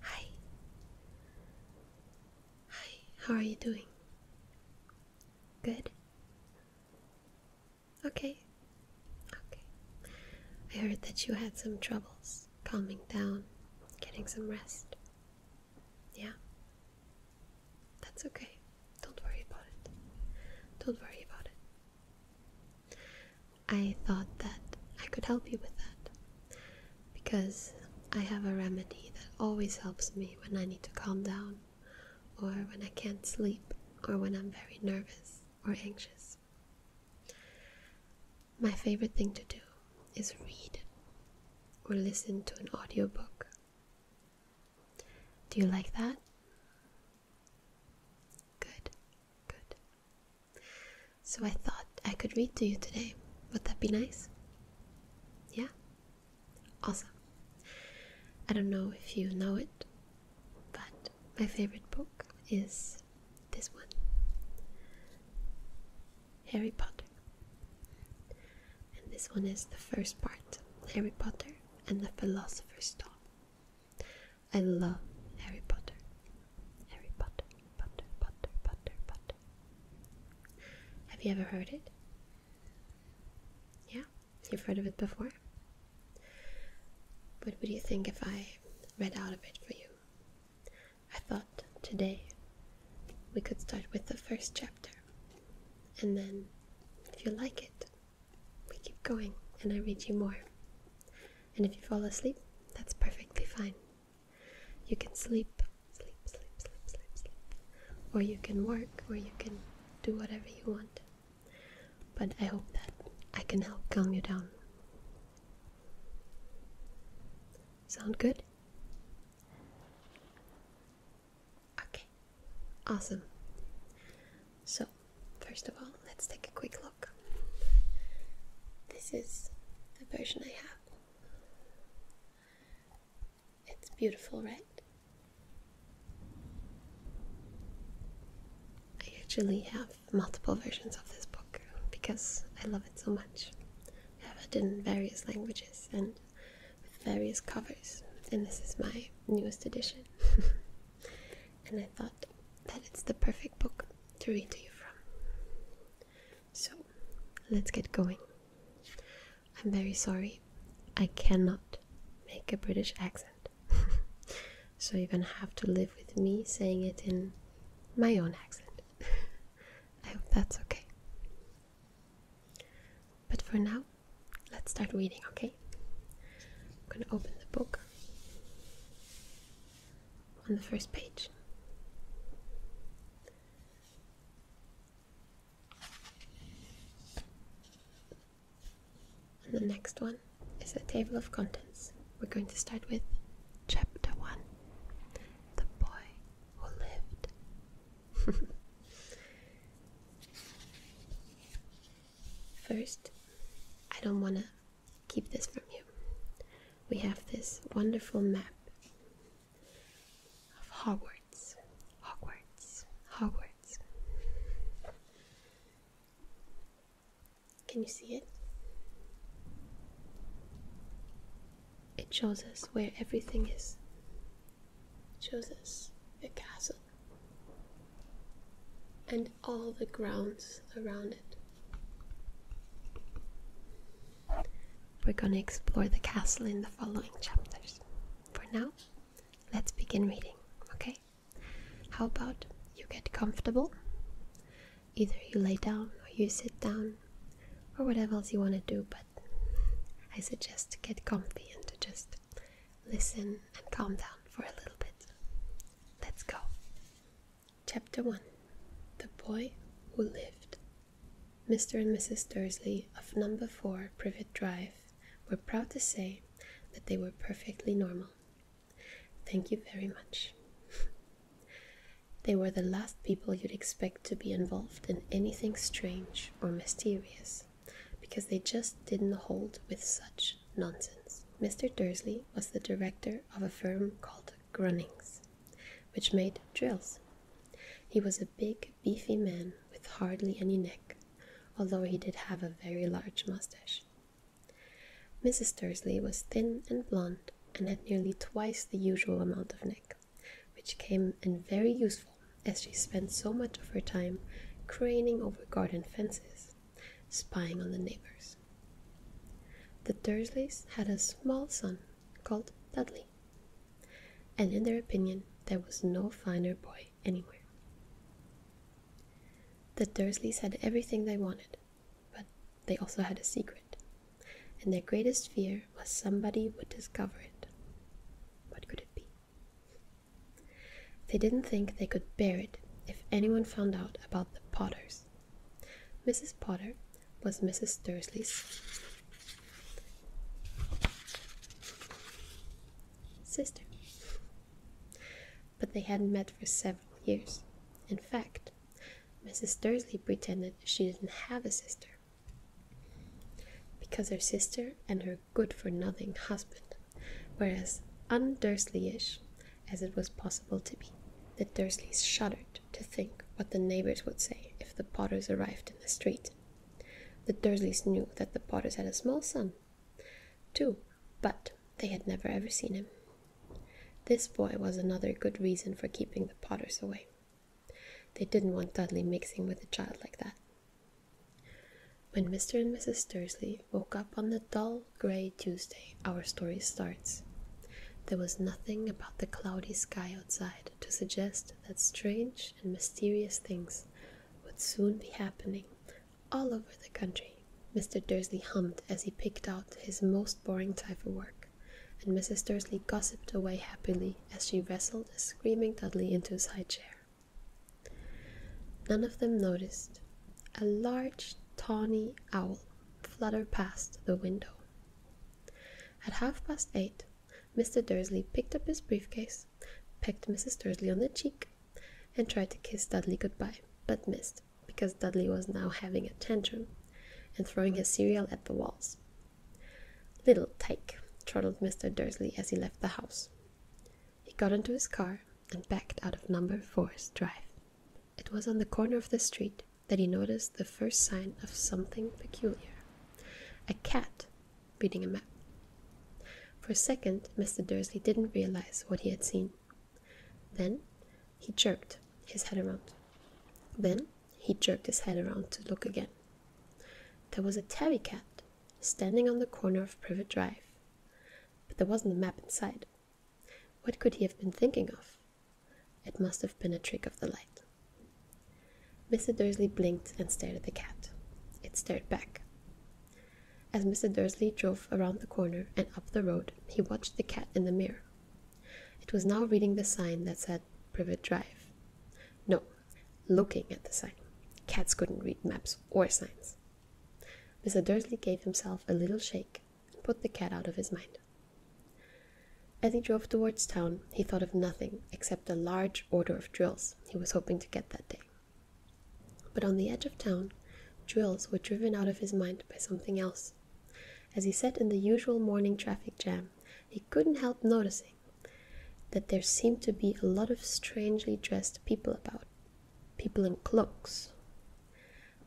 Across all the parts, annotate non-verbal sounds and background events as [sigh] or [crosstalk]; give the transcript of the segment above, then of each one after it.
Hi. Hi, how are you doing? Good? Okay. Okay. I heard that you had some troubles calming down, getting some rest. Yeah? That's okay. Don't worry about it. Don't worry about it. I thought that I could help you with that because I have a remedy that always helps me when I need to calm down, or when I can't sleep, or when I'm very nervous or anxious. My favorite thing to do is read or listen to an audiobook. Do you like that? Good, good. So I thought I could read to you today. Would that be nice? Yeah? Awesome. I don't know if you know it, but my favorite book is this one Harry Potter. And this one is the first part Harry Potter and the Philosopher's Stone. I love Harry Potter. Harry Potter, Potter, Potter, Potter, Potter. Have you ever heard it? Yeah, you've heard of it before? What would you think if I read out of it for you? I thought today we could start with the first chapter, and then if you like it, we keep going and I read you more. And if you fall asleep, that's perfectly fine. You can sleep, sleep, sleep, sleep, sleep, sleep. Or you can work, or you can do whatever you want. But I hope that I can help calm you down. Sound good? Okay, awesome. So, first of all, let's take a quick look. This is the version I have. It's beautiful, right? I actually have multiple versions of this book because I love it so much. I have it in various languages and various covers, and this is my newest edition. [laughs] and I thought that it's the perfect book to read to you from. So let's get going. I'm very sorry, I cannot make a British accent. [laughs] so you're gonna have to live with me saying it in my own accent. [laughs] I hope that's okay. But for now, let's start reading, okay? I'm gonna open the book on the first page. And the next one is a table of contents. We're going to start with chapter 1 The Boy Who Lived. [laughs] First, I don't want to keep this from you. We have this wonderful map of Hogwarts. Hogwarts. Hogwarts. Can you see it? It shows us where everything is. It shows us the castle and all the grounds around it. We're going to explore the castle in the following chapters. For now, let's begin reading, okay? How about you get comfortable? Either you lay down or you sit down or whatever else you want to do, but I suggest to get comfy and to just listen and calm down for a little bit. Let's go. Chapter 1 The Boy Who Lived. Mr. and Mrs. Dursley of number 4 Privet Drive were proud to say that they were perfectly normal. Thank you very much. [laughs] they were the last people you'd expect to be involved in anything strange or mysterious because they just didn't hold with such nonsense. Mr. Dursley was the director of a firm called Grunnings, which made drills. He was a big, beefy man with hardly any neck, although he did have a very large mustache. Mrs. Dursley was thin and blonde and had nearly twice the usual amount of neck, which came in very useful as she spent so much of her time craning over garden fences, spying on the neighbors. The Dursleys had a small son called Dudley, and in their opinion, there was no finer boy anywhere. The Dursleys had everything they wanted, but they also had a secret, and their greatest fear was somebody would discover it. What could it be? They didn't think they could bear it if anyone found out about the Potters, Mrs. Potter was Mrs. Dursley's sister, but they hadn't met for several years. In fact, Mrs. Dursley pretended she didn't have a sister because her sister and her good for nothing husband were as undursley as it was possible to be. The Dursleys shuddered to think what the neighbors would say if the Potters arrived in the street. The Dursleys knew that the Potters had a small sum, too, but they had never ever seen him. This boy was another good reason for keeping the Potters away. They didn't want Dudley mixing with a child like that. When Mr. and Mrs. Dursley woke up on the dull grey Tuesday, our story starts. There was nothing about the cloudy sky outside to suggest that strange and mysterious things would soon be happening all over the country. Mr. Dursley hummed as he picked out his most boring tie for work, and Mrs. Dursley gossiped away happily as she wrestled a screaming Dudley into his high chair. None of them noticed. A large, tawny owl Fluttered past the window. At half past eight, Mr. Dursley picked up his briefcase, pecked Mrs. Dursley on the cheek, and tried to kiss Dudley goodbye, but missed because Dudley was now having a tantrum and throwing his cereal at the walls. Little tyke, chortled Mr. Dursley as he left the house. He got into his car and backed out of Number Four's drive. It was on the corner of the street that he noticed the first sign of something peculiar a cat reading a map. For a second, Mr. Dursley didn't realize what he had seen. Then he jerked his head around. Then he jerked his head around to look again. There was a tabby cat standing on the corner of Privet Drive, but there wasn't a map in sight. What could he have been thinking of? It must have been a trick of the light. Mr. Dursley blinked and stared at the cat. It stared back. As Mr. Dursley drove around the corner and up the road, he watched the cat in the mirror. It was now reading the sign that said Privet Drive. No, looking at the sign. Cats couldn't read maps or signs. Mr. Dursley gave himself a little shake and put the cat out of his mind. As he drove towards town, he thought of nothing except the large order of drills he was hoping to get that day. But on the edge of town, drills were driven out of his mind by something else. As he sat in the usual morning traffic jam, he couldn't help noticing that there seemed to be a lot of strangely dressed people about people in cloaks,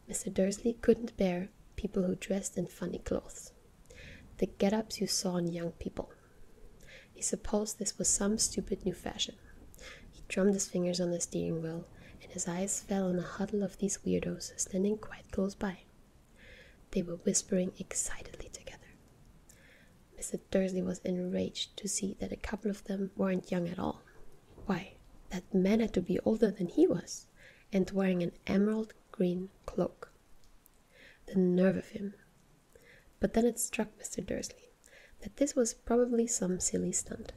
Mr. Dursley couldn't bear people who dressed in funny clothes, the get ups you saw in young people. He supposed this was some stupid new fashion. He drummed his fingers on the steering wheel, and his eyes fell on a huddle of these weirdos standing quite close by. They were whispering excitedly together. Mr. Dursley was enraged to see that a couple of them weren't young at all. Why, that man had to be older than he was, and wearing an emerald green cloak. The nerve of him! But then it struck Mr. Dursley that this was probably some silly stunt.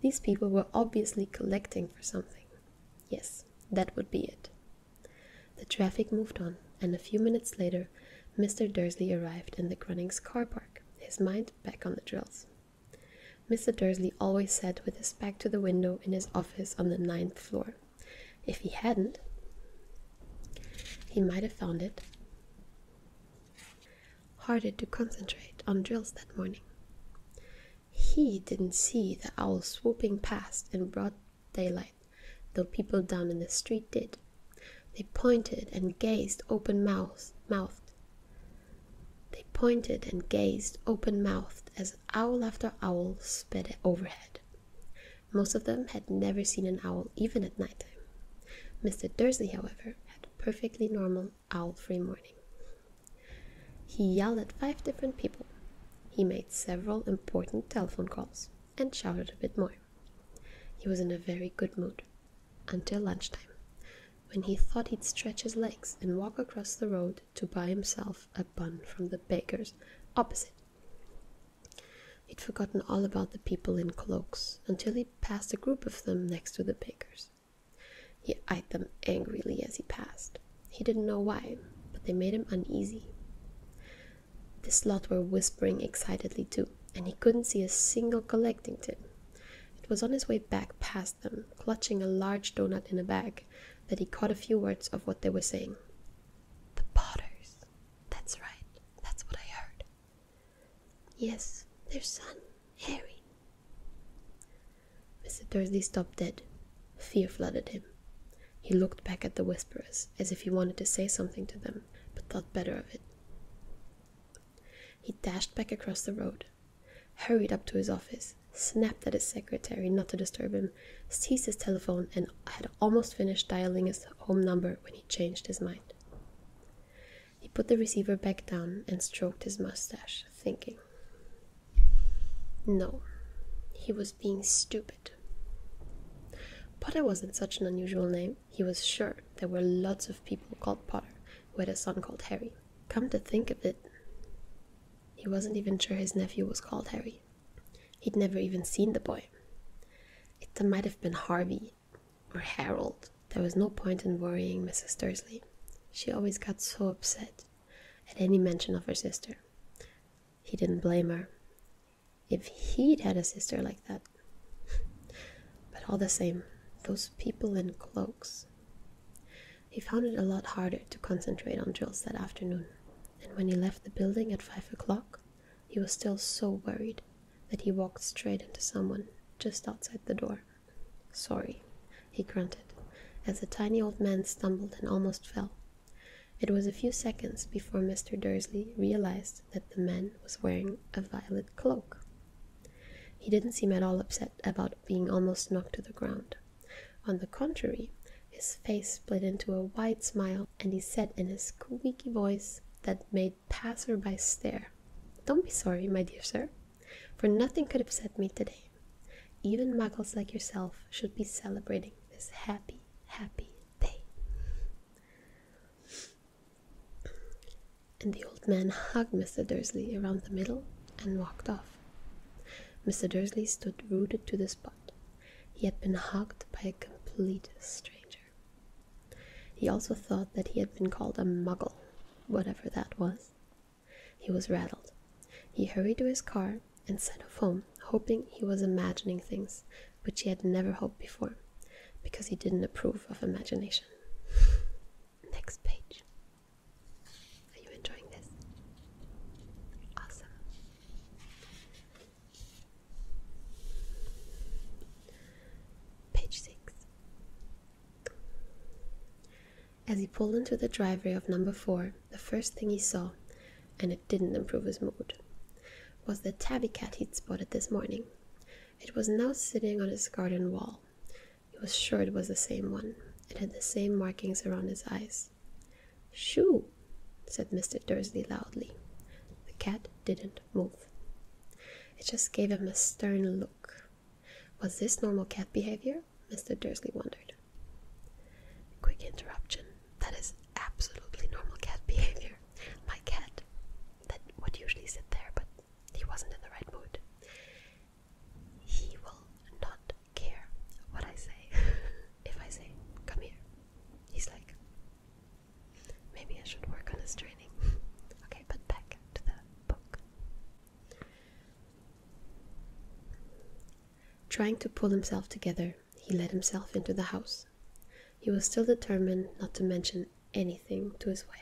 These people were obviously collecting for something. Yes, that would be it. The traffic moved on, and a few minutes later, Mr. Dursley arrived in the Grunnings car park, his mind back on the drills. Mr. Dursley always sat with his back to the window in his office on the ninth floor. If he hadn't, he might have found it harder to concentrate on drills that morning. He didn't see the owl swooping past in broad daylight, though people down in the street did. They pointed and gazed open mouthed they pointed and gazed open mouthed as owl after owl sped overhead. Most of them had never seen an owl even at night time. Mr. Dursley, however, had a perfectly normal owl free morning. He yelled at five different people. He made several important telephone calls and shouted a bit more. He was in a very good mood until lunchtime, when he thought he'd stretch his legs and walk across the road to buy himself a bun from the baker's opposite. He'd forgotten all about the people in cloaks until he passed a group of them next to the baker's. He eyed them angrily as he passed. He didn't know why, but they made him uneasy. This lot were whispering excitedly too, and he couldn't see a single collecting tin. It was on his way back past them, clutching a large doughnut in a bag, that he caught a few words of what they were saying. The potters. That's right. That's what I heard. Yes, their son, Harry. Mr. Dursley stopped dead. Fear flooded him. He looked back at the whisperers as if he wanted to say something to them, but thought better of it. He dashed back across the road, hurried up to his office, snapped at his secretary not to disturb him, seized his telephone, and had almost finished dialing his home number when he changed his mind. He put the receiver back down and stroked his mustache, thinking. No, he was being stupid. Potter wasn't such an unusual name. He was sure there were lots of people called Potter who had a son called Harry. Come to think of it, he wasn't even sure his nephew was called Harry. He'd never even seen the boy. It might have been Harvey or Harold. There was no point in worrying Mrs. Dursley. She always got so upset at any mention of her sister. He didn't blame her. If he'd had a sister like that. But all the same, those people in cloaks. He found it a lot harder to concentrate on drills that afternoon, and when he left the building at five o'clock, he was still so worried that he walked straight into someone just outside the door. Sorry, he grunted, as the tiny old man stumbled and almost fell. It was a few seconds before Mr. Dursley realized that the man was wearing a violet cloak. He didn't seem at all upset about being almost knocked to the ground. On the contrary, his face split into a wide smile, and he said in a squeaky voice that made passersby stare, Don't be sorry, my dear sir, for nothing could upset me today. Even muggles like yourself should be celebrating this happy, happy day and the old man hugged Mr. Dursley around the middle and walked off. Mr. Dursley stood rooted to the spot. He had been hugged by a complete stranger. He also thought that he had been called a muggle, whatever that was. He was rattled. He hurried to his car and set off home, hoping he was imagining things which he had never hoped before, because he didn't approve of imagination. [laughs] Next page. Are you enjoying this? Awesome. Page 6. As he pulled into the driveway of number 4, the first thing he saw, and it didn't improve his mood, was the tabby cat he'd spotted this morning. It was now sitting on his garden wall, he was sure it was the same one. It had the same markings around its eyes. Shoo! said Mr. Dursley loudly. The cat didn't move. It just gave him a stern look. Was this normal cat behavior? Mr. Dursley wondered. Quick interruption. That is absolutely normal cat behavior. My cat, that would usually sit there, but he wasn't in the right mood he will not care what I say. [laughs] if I say, come here, he's like, maybe I should work on his training. [laughs] okay, but back to the book. Trying to pull himself together, he let himself into the house. He was still determined not to mention anything to his wife.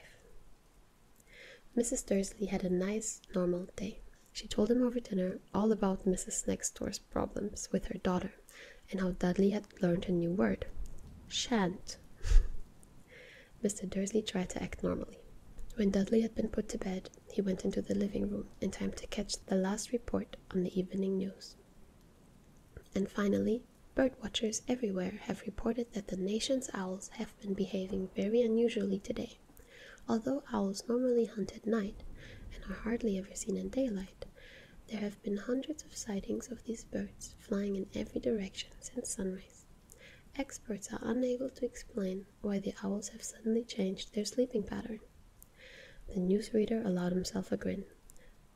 Mrs. Dursley had a nice, normal day. She told him over dinner all about Mrs. Next Door's problems with her daughter and how Dudley had learned a new word shan't. [laughs] Mr. Dursley tried to act normally. When Dudley had been put to bed, he went into the living room in time to catch the last report on the evening news. And finally, bird watchers everywhere have reported that the nation's owls have have been behaving very unusually today. Although owls normally hunt at night and are hardly ever seen in daylight, there have been hundreds of sightings of these birds flying in every direction since sunrise. Experts are unable to explain why the owls have suddenly changed their sleeping pattern. The newsreader allowed himself a grin.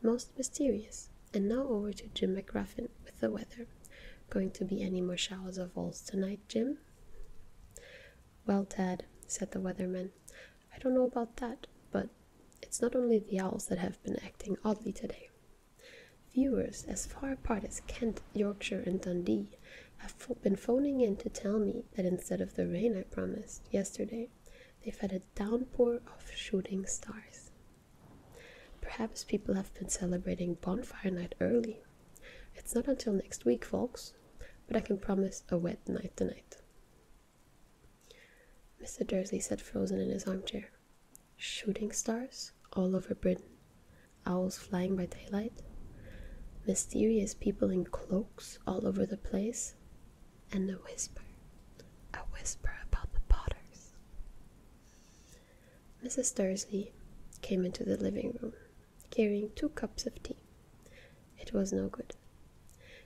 Most mysterious. And now over to Jim McGruffin with the weather, Going to be any more showers or falls tonight, Jim? Well, Tad, said the weatherman, I don't know about that, but it's not only the owls that have been acting oddly today. Viewers as far apart as Kent, Yorkshire, and Dundee have been phoning in to tell me that instead of the rain I promised yesterday, they've had a downpour of shooting stars. Perhaps people have been celebrating bonfire night early it's not until next week, folks, but I can promise a wet night tonight. Mr. Dursley sat frozen in his armchair. Shooting stars all over Britain, owls flying by daylight, mysterious people in cloaks all over the place, and a whisper, a whisper about the Potters. Mrs. Dursley came into the living room, carrying two cups of tea. It was no good.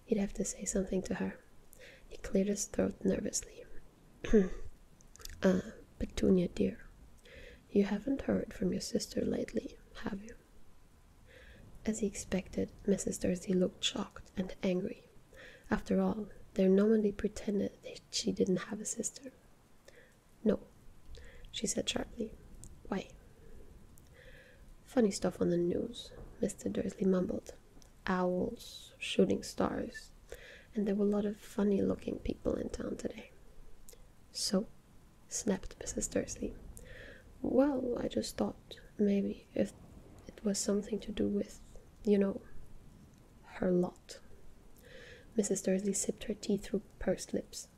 He'd have to say something to her. He cleared his throat nervously. ah, [clears throat] Petunia dear, you haven't heard from your sister lately, have you? As he expected, Mrs. Dursley looked shocked and angry. After all, their nominee pretended that she didn't have a sister. No, she said sharply. Why? Funny stuff on the news, Mr. Dursley mumbled. Owls, shooting stars, and there were a lot of funny looking people in town today. So? snapped Mrs. Dursley. Well, I just thought maybe if it was something to do with, you know, her lot. Mrs. Dursley sipped her tea through pursed lips.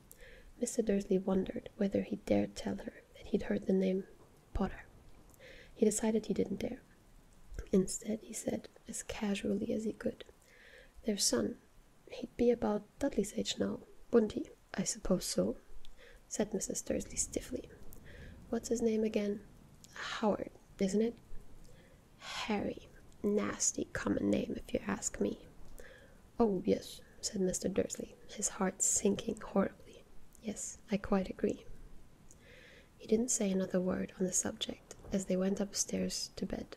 Mr. Dursley wondered whether he dared tell her that he'd heard the name Potter. He decided he didn't dare. Instead, he said, as casually as he could, Their son. He'd be about Dudley's age now, wouldn't he? I suppose so, said Mrs. Dursley stiffly. What's his name again? Howard, isn't it? Harry. Nasty common name, if you ask me. Oh, yes, said Mr. Dursley, his heart sinking horribly. Yes, I quite agree. He didn't say another word on the subject as they went upstairs to bed.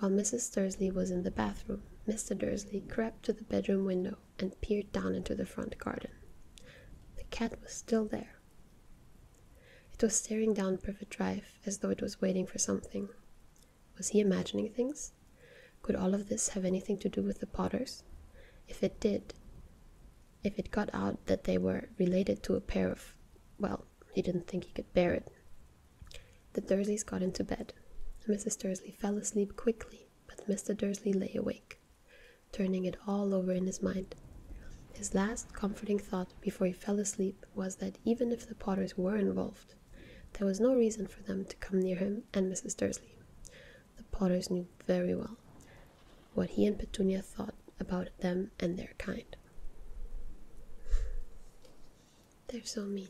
While Mrs. Dursley was in the bathroom, Mr. Dursley crept to the bedroom window and peered down into the front garden. The cat was still there. It was staring down Privet Drive as though it was waiting for something. Was he imagining things? Could all of this have anything to do with the Potters? If it did, if it got out that they were related to a pair of. well, he didn't think he could bear it. The Dursleys got into bed. Mrs. Dursley fell asleep quickly, but Mr. Dursley lay awake, turning it all over in his mind. His last comforting thought before he fell asleep was that even if the Potters were involved, there was no reason for them to come near him and Mrs. Dursley. The Potters knew very well what he and Petunia thought about them and their kind. They're so mean.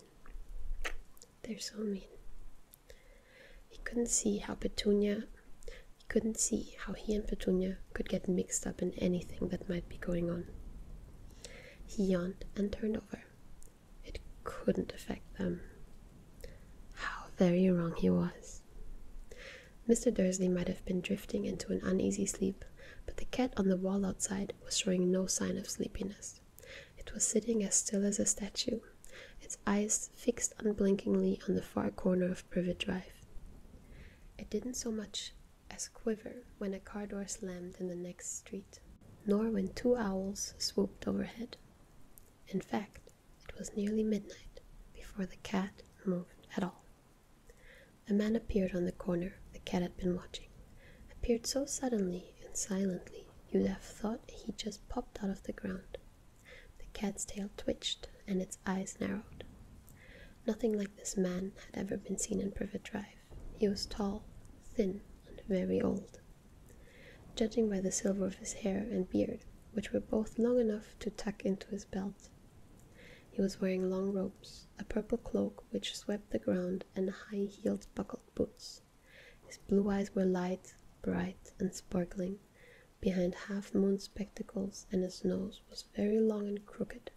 They're so mean. He couldn't see how Petunia, he couldn't see how he and Petunia could get mixed up in anything that might be going on. He yawned and turned over. It couldn't affect them. How very wrong he was. Mr. Dursley might have been drifting into an uneasy sleep, but the cat on the wall outside was showing no sign of sleepiness. It was sitting as still as a statue, its eyes fixed unblinkingly on the far corner of Privet Drive. It didn't so much as quiver when a car door slammed in the next street, nor when two owls swooped overhead. In fact, it was nearly midnight before the cat moved at all. A man appeared on the corner the cat had been watching, appeared so suddenly and silently you'd have thought he just popped out of the ground. The cat's tail twitched and its eyes narrowed. Nothing like this man had ever been seen in Privet Drive. He was tall, thin, and very old. Judging by the silver of his hair and beard, which were both long enough to tuck into his belt, he was wearing long robes, a purple cloak which swept the ground, and high heeled buckled boots. His blue eyes were light, bright, and sparkling, behind half moon spectacles, and his nose was very long and crooked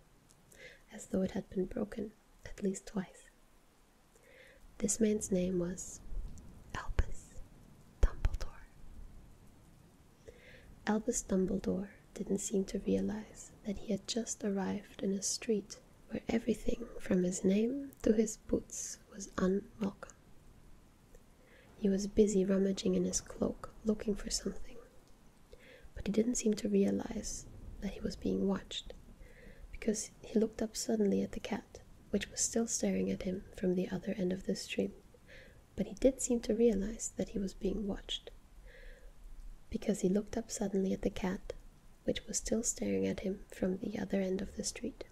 as though it had been broken at least twice. This man's name was Albus Dumbledore. Albus Dumbledore didn't seem to realize that he had just arrived in a street where everything from his name to his boots was unwelcome. He was busy rummaging in his cloak looking for something but he didn't seem to realize that he was being watched, because he looked up suddenly at the cat, which was still staring at him from the other end of the street. But he did seem to realize that he was being watched, because he looked up suddenly at the cat, which was still staring at him from the other end of the street.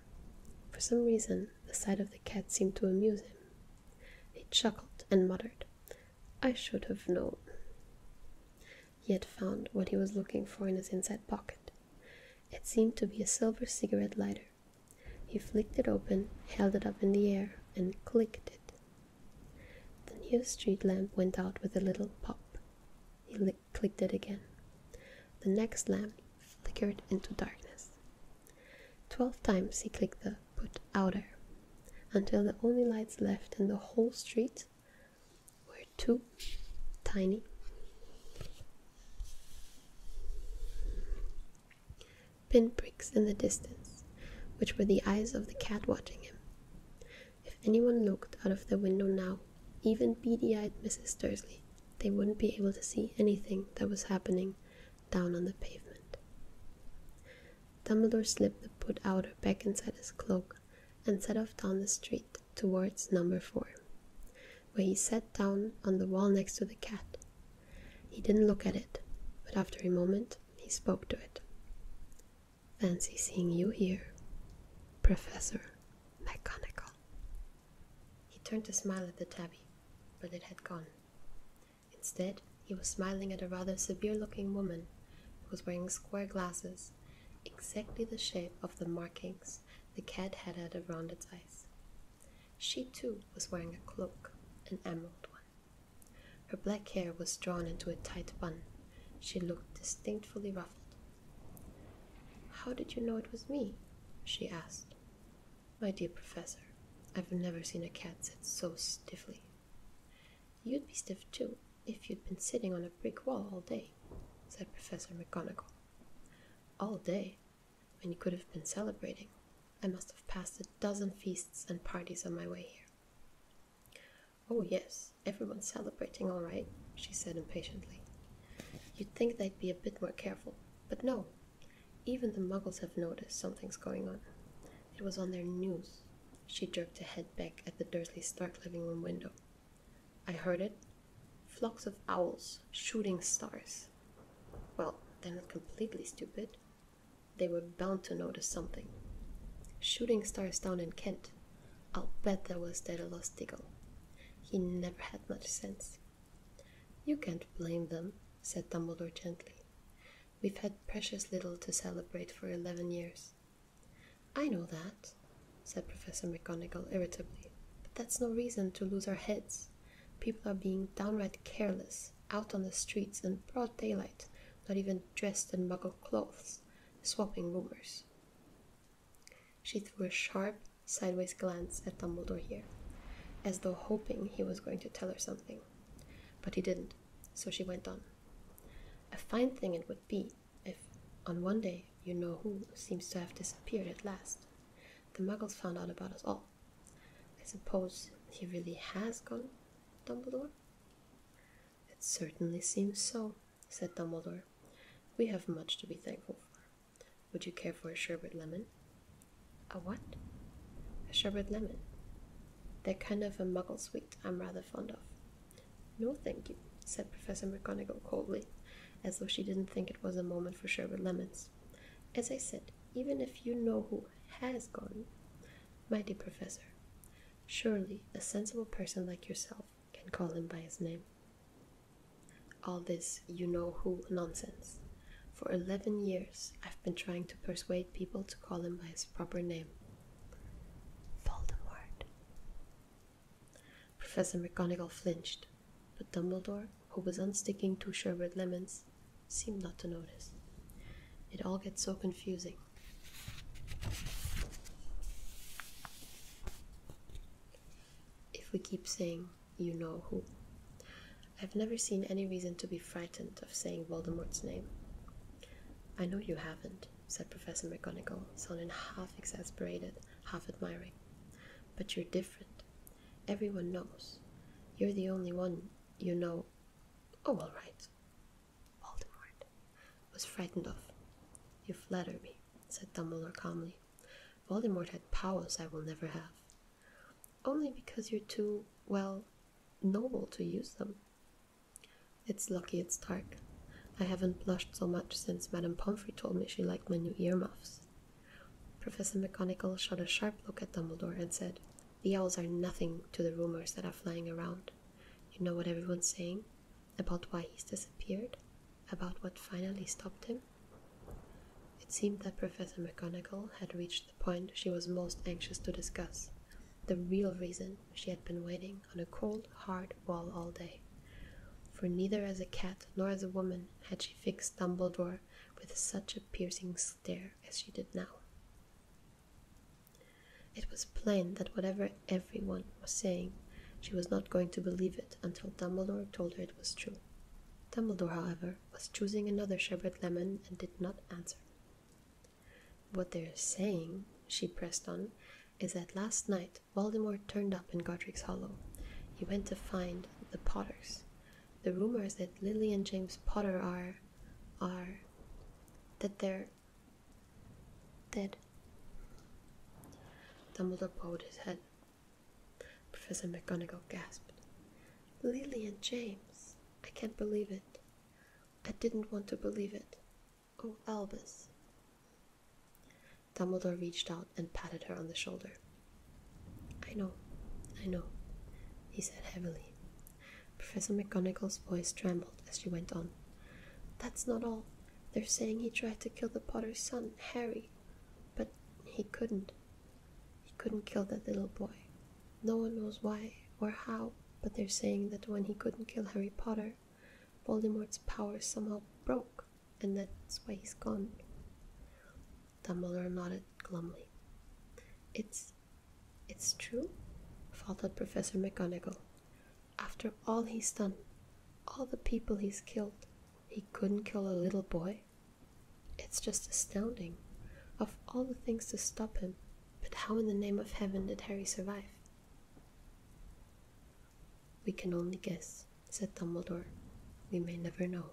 For some reason, the sight of the cat seemed to amuse him. He chuckled and muttered, I should have known. He had found what he was looking for in his inside pocket. It seemed to be a silver cigarette lighter. He flicked it open, held it up in the air, and clicked it. The nearest street lamp went out with a little pop. He clicked it again. The next lamp flickered into darkness. Twelve times he clicked the put out there, until the only lights left in the whole street were two tiny pinpricks in the distance, which were the eyes of the cat watching him. If anyone looked out of the window now, even beady eyed Mrs. Dursley, they wouldn't be able to see anything that was happening down on the pavement. Dumbledore slipped the put outer back inside his cloak and set off down the street towards number four, where he sat down on the wall next to the cat. He didn't look at it, but after a moment he spoke to it. Fancy seeing you here, Professor McGonagall. He turned to smile at the tabby, but it had gone. Instead, he was smiling at a rather severe looking woman who was wearing square glasses, exactly the shape of the markings the cat had had around its eyes. She too was wearing a cloak, an emerald one. Her black hair was drawn into a tight bun. She looked distinctly ruffled. How did you know it was me? she asked. My dear professor, I've never seen a cat sit so stiffly, You'd be stiff too if you'd been sitting on a brick wall all day, said Professor McGonagall. All day, when you could have been celebrating. I must have passed a dozen feasts and parties on my way here. Oh, yes, everyone's celebrating all right, she said impatiently. You'd think they'd be a bit more careful, but no. Even the muggles have noticed something's going on. It was on their news. She jerked her head back at the Dursley Stark living room window. I heard it. Flocks of owls, shooting stars. Well, they're not completely stupid. They were bound to notice something. Shooting stars down in Kent. I'll bet that was Daedalus Diggle. He never had much sense. You can't blame them, said Dumbledore gently. We've had precious little to celebrate for eleven years. I know that, said Professor McGonagall irritably, but that's no reason to lose our heads. People are being downright careless, out on the streets in broad daylight, not even dressed in muggle clothes, swapping rumors. She threw a sharp, sideways glance at Dumbledore here, as though hoping he was going to tell her something. But he didn't. So she went on. A fine thing it would be if, on one day, you know who seems to have disappeared at last. The muggles found out about us all. I suppose he really has gone, Dumbledore? It certainly seems so, said Dumbledore. We have much to be thankful for. Would you care for a sherbet lemon? A what? A sherbet lemon. They're kind of a muggle sweet I'm rather fond of. No, thank you, said Professor McGonagall coldly, as though she didn't think it was a moment for sherbet lemons. As I said, even if you know who has gone, my dear Professor, surely a sensible person like yourself can call him by his name. All this you know who nonsense. For eleven years, I've been trying to persuade people to call him by his proper name Voldemort. Professor McGonagall flinched, but Dumbledore, who was unsticking two sherbet lemons, seemed not to notice. It all gets so confusing. If we keep saying, you know who. I've never seen any reason to be frightened of saying Voldemort's name. I know you haven't, said Professor McGonagall, sounding half exasperated, half admiring. But you're different. Everyone knows. You're the only one you know. Oh, all right. Voldemort was frightened of. You flatter me, said Dumbledore calmly. Voldemort had powers I will never have. Only because you're too, well, noble to use them. It's lucky it's dark. I haven't blushed so much since Madame Pomfrey told me she liked my new ear muffs. Professor McGonagall shot a sharp look at Dumbledore and said, The owls are nothing to the rumors that are flying around. You know what everyone's saying? About why he's disappeared? About what finally stopped him? It seemed that Professor McGonagall had reached the point she was most anxious to discuss the real reason she had been waiting on a cold, hard wall all day. For neither as a cat nor as a woman had she fixed Dumbledore with such a piercing stare as she did now. It was plain that whatever everyone was saying, she was not going to believe it until Dumbledore told her it was true. Dumbledore, however, was choosing another sherbet lemon and did not answer. What they're saying, she pressed on, is that last night Voldemort turned up in Godric's Hollow. He went to find the Potters. The rumors that Lily and James Potter are. are. that they're. dead. Dumbledore bowed his head. Professor McGonagall gasped. Lily and James! I can't believe it. I didn't want to believe it. Oh, Albus. Dumbledore reached out and patted her on the shoulder. I know, I know, he said heavily. Professor McGonagall's voice trembled as she went on. That's not all. They're saying he tried to kill the Potter's son, Harry, but he couldn't. He couldn't kill that little boy. No one knows why or how, but they're saying that when he couldn't kill Harry Potter, Voldemort's power somehow broke, and that's why he's gone. Dumbledore nodded glumly. It's. it's true? faltered Professor McGonagall. After all he's done, all the people he's killed, he couldn't kill a little boy? It's just astounding. Of all the things to stop him, but how in the name of heaven did Harry survive? We can only guess, said Dumbledore. We may never know.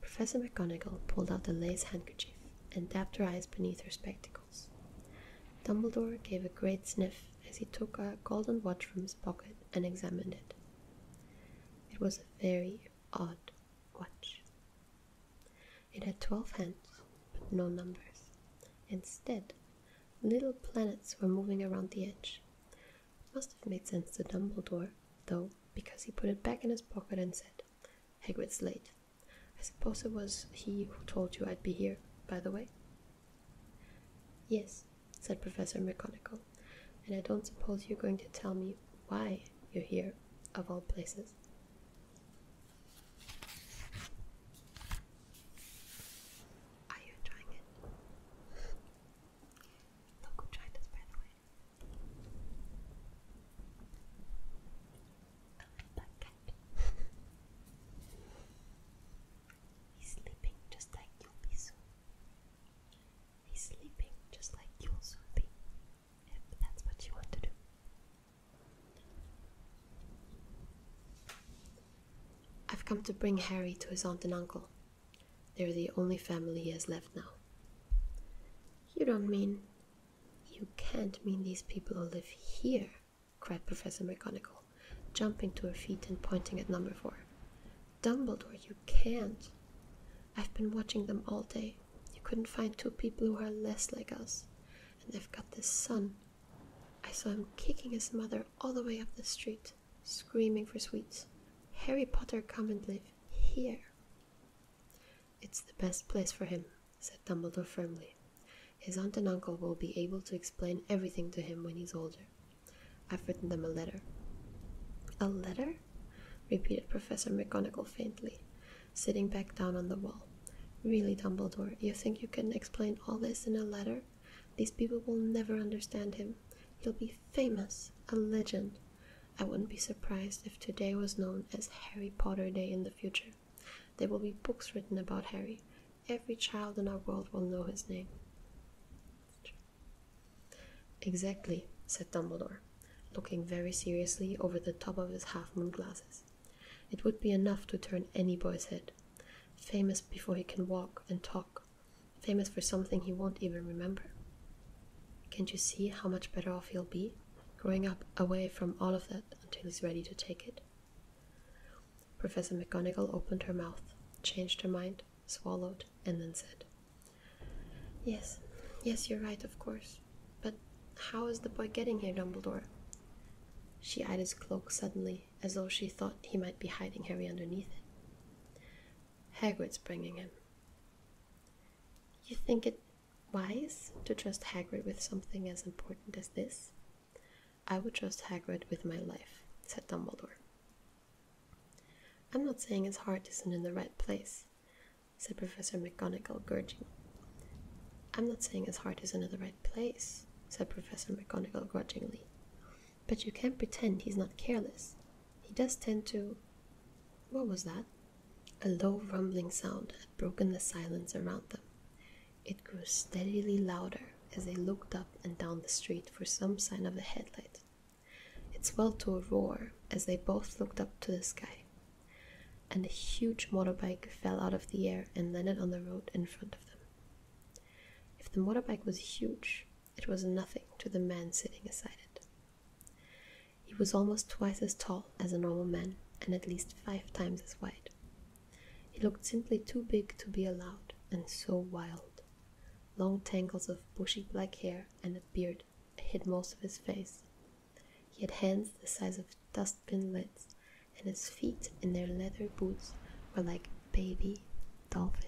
Professor McGonagall pulled out a lace handkerchief and dabbed her eyes beneath her spectacles. Dumbledore gave a great sniff as he took a golden watch from his pocket and examined it. It was a very odd watch. It had twelve hands, but no numbers. Instead, little planets were moving around the edge. must have made sense to Dumbledore, though, because he put it back in his pocket and said, Hagrid's late. I suppose it was he who told you I'd be here, by the way? Yes, said Professor McGonagall, and I don't suppose you're going to tell me why you're here, of all places. Are you enjoying it? Look who by the way. He's sleeping just like you'll be He's sleeping just like you'll soon be if that's what you want to do. I've come to bring Harry to his aunt and uncle. They're the only family he has left now. You don't mean. You can't mean these people who live here, cried Professor McGonagall, jumping to her feet and pointing at number four. Dumbledore, you can't. I've been watching them all day. You couldn't find two people who are less like us. And they've got this son. I saw him kicking his mother all the way up the street, screaming for sweets. Harry Potter come and live here. It's the best place for him, said Dumbledore firmly. His aunt and uncle will be able to explain everything to him when he's older. I've written them a letter. A letter? repeated Professor McGonagall faintly, sitting back down on the wall. Really, Dumbledore, you think you can explain all this in a letter? These people will never understand him. He'll be famous, a legend. I wouldn't be surprised if today was known as Harry Potter Day in the future. There will be books written about Harry. Every child in our world will know his name. Exactly, said Dumbledore looking very seriously over the top of his half moon glasses. It would be enough to turn any boy's head. Famous before he can walk and talk, famous for something he won't even remember. Can't you see how much better off he'll be, growing up away from all of that until he's ready to take it? Professor McGonagall opened her mouth, changed her mind, swallowed, and then said, Yes, yes, you're right, of course. But how is the boy getting here, Dumbledore? She eyed his cloak suddenly, as though she thought he might be hiding Harry underneath it. Hagrid's bringing him. You think it wise to trust Hagrid with something as important as this? I would trust Hagrid with my life, said Dumbledore. I'm not saying his heart isn't in the right place said Professor McGonagall, grudgingly. I'm not saying his heart is in the right place, said Professor McGonagall grudgingly. But you can't pretend he's not careless. He does tend to. What was that? A low rumbling sound had broken the silence around them. It grew steadily louder as they looked up and down the street for some sign of a headlight. It swelled to a roar as they both looked up to the sky and a huge motorbike fell out of the air and landed on the road in front of them. If the motorbike was huge, it was nothing to the man sitting beside it. He was almost twice as tall as a normal man and at least five times as wide. He looked simply too big to be allowed and so wild. Long tangles of bushy black hair and a beard hid most of his face, he had hands the size of dustbin lids, and his feet in their leather boots were like baby dolphins.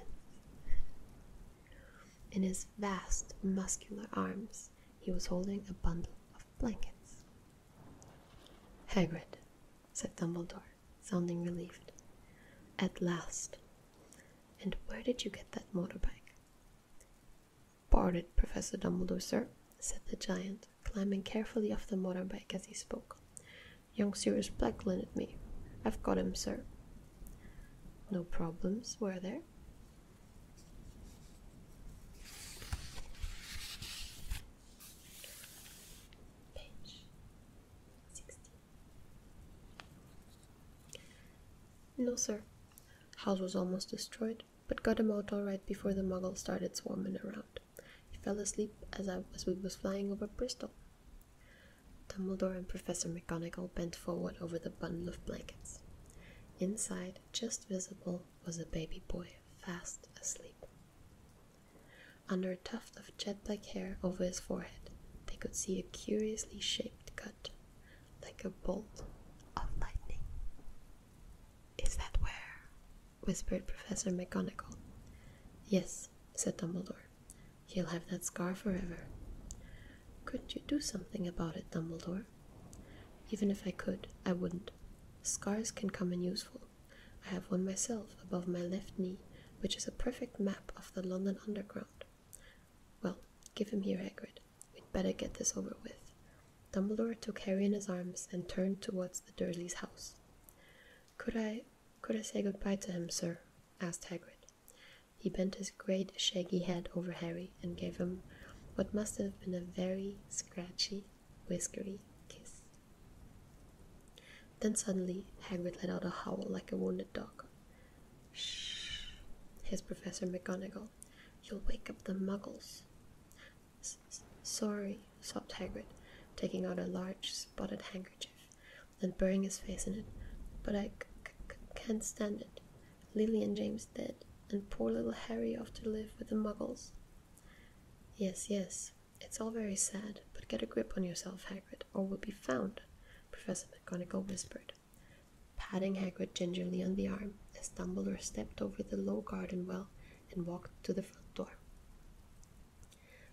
In his vast, muscular arms, he was holding a bundle of blankets. Hagrid, said Dumbledore, sounding relieved. At last. And where did you get that motorbike? it, Professor Dumbledore, sir, said the giant, climbing carefully off the motorbike as he spoke. Young Sirius Black at me. I've got him, sir. No problems, were there? No, sir, House was almost destroyed, but got him out all right before the Muggles started swarming around. He fell asleep as, I, we was flying over Bristol. Dumbledore and Professor McGonagall bent forward over the bundle of blankets. Inside, just visible, was a baby boy, fast asleep. Under a tuft of jet black hair over his forehead, they could see a curiously shaped cut like a bolt of lightning. Is that where? whispered Professor McGonagall. Yes, said Dumbledore. He'll have that scar forever. Could not you do something about it, Dumbledore? Even if I could, I wouldn't. Scars can come in useful. I have one myself above my left knee, which is a perfect map of the London Underground. Well, give him here, Hagrid. We'd better get this over with. Dumbledore took Harry in his arms and turned towards the Dursleys' house. Could I could I say goodbye to him, sir? asked Hagrid. He bent his great shaggy head over Harry and gave him what must have been a very scratchy, whiskery kiss. Then suddenly Hagrid let out a howl like a wounded dog. Shh, Here's Professor McGonagall you'll wake up the muggles. Sorry, sobbed Hagrid, taking out a large spotted handkerchief and burying his face in it, but I c c can't stand it. Lily and James dead, and poor little Harry off to live with the muggles. Yes, yes, it's all very sad, but get a grip on yourself, Hagrid, or we'll be found, Professor McGonagall whispered patting Hagrid gingerly on the arm as Dumbledore stepped over the low garden wall, and walked to the front door.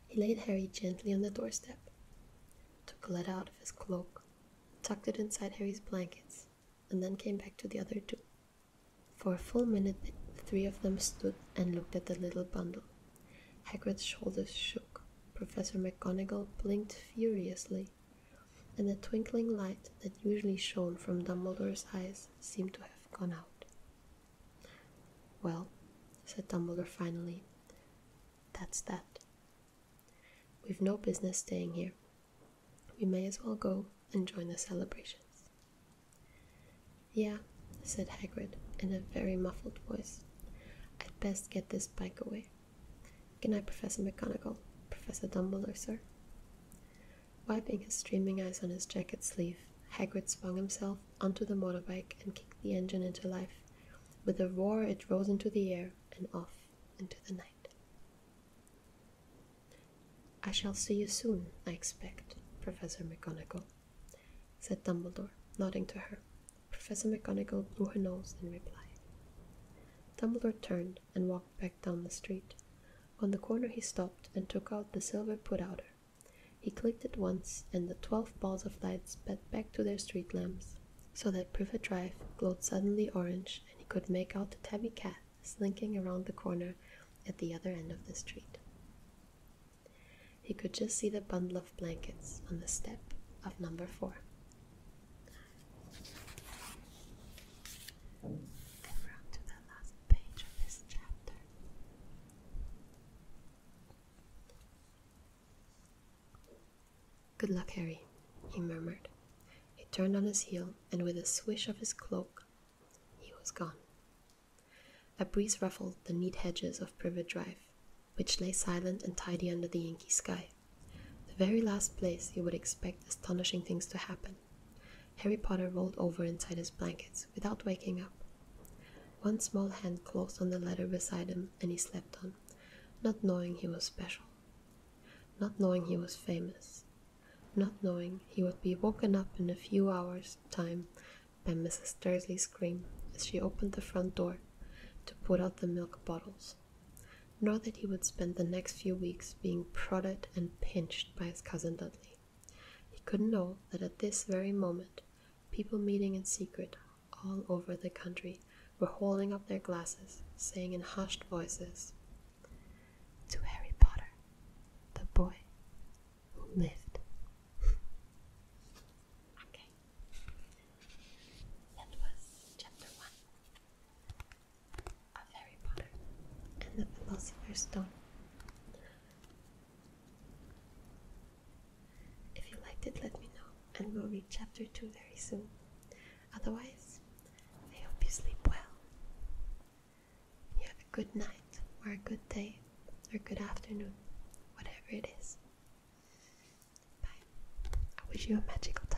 He laid Harry gently on the doorstep, took a letter out of his cloak, tucked it inside Harry's blankets, and then came back to the other two. For a full minute, the three of them stood and looked at the little bundle. Hagrid's shoulders shook. Professor McGonagall blinked furiously, and the twinkling light that usually shone from Dumbledore's eyes seemed to have gone out. Well, said Dumbledore finally, that's that. We've no business staying here. We may as well go and join the celebrations. Yeah, said Hagrid in a very muffled voice. I'd best get this bike away. Good night, Professor McGonagall, Professor Dumbledore, sir. Wiping his streaming eyes on his jacket sleeve, Hagrid swung himself onto the motorbike and kicked the engine into life. With a roar, it rose into the air and off into the night. I shall see you soon, I expect, Professor McGonagall, said Dumbledore, nodding to her. Professor McGonagall blew her nose in reply. Dumbledore turned and walked back down the street. On the corner he stopped and took out the silver putouter. He clicked it once, and the twelve balls of light sped back to their street lamps, so that Privet Drive glowed suddenly orange, and he could make out the tabby cat slinking around the corner at the other end of the street. He could just see the bundle of blankets on the step of number four. And we to the last page of this chapter. Good luck, Harry, he murmured. He turned on his heel, and with a swish of his cloak, he was gone. A breeze ruffled the neat hedges of Privet Drive, which lay silent and tidy under the inky sky. The very last place you would expect astonishing things to happen. Harry Potter rolled over inside his blankets without waking up. One small hand closed on the letter beside him and he slept on, not knowing he was special, not knowing he was famous, not knowing he would be woken up in a few hours' time by Mrs. Dursley's scream as she opened the front door to put out the milk bottles nor that he would spend the next few weeks being prodded and pinched by his cousin Dudley. He couldn't know that at this very moment, people meeting in secret all over the country were holding up their glasses, saying in hushed voices, To Harry Potter, the boy who lived. [laughs] okay. That was chapter one of Harry Potter and the Philosopher's Stone. If you liked it, let me know, and we'll read chapter 2 very soon. Otherwise, I hope you sleep well. You have a good night, or a good day, or a good afternoon, whatever it is. Bye. I wish you a magical time.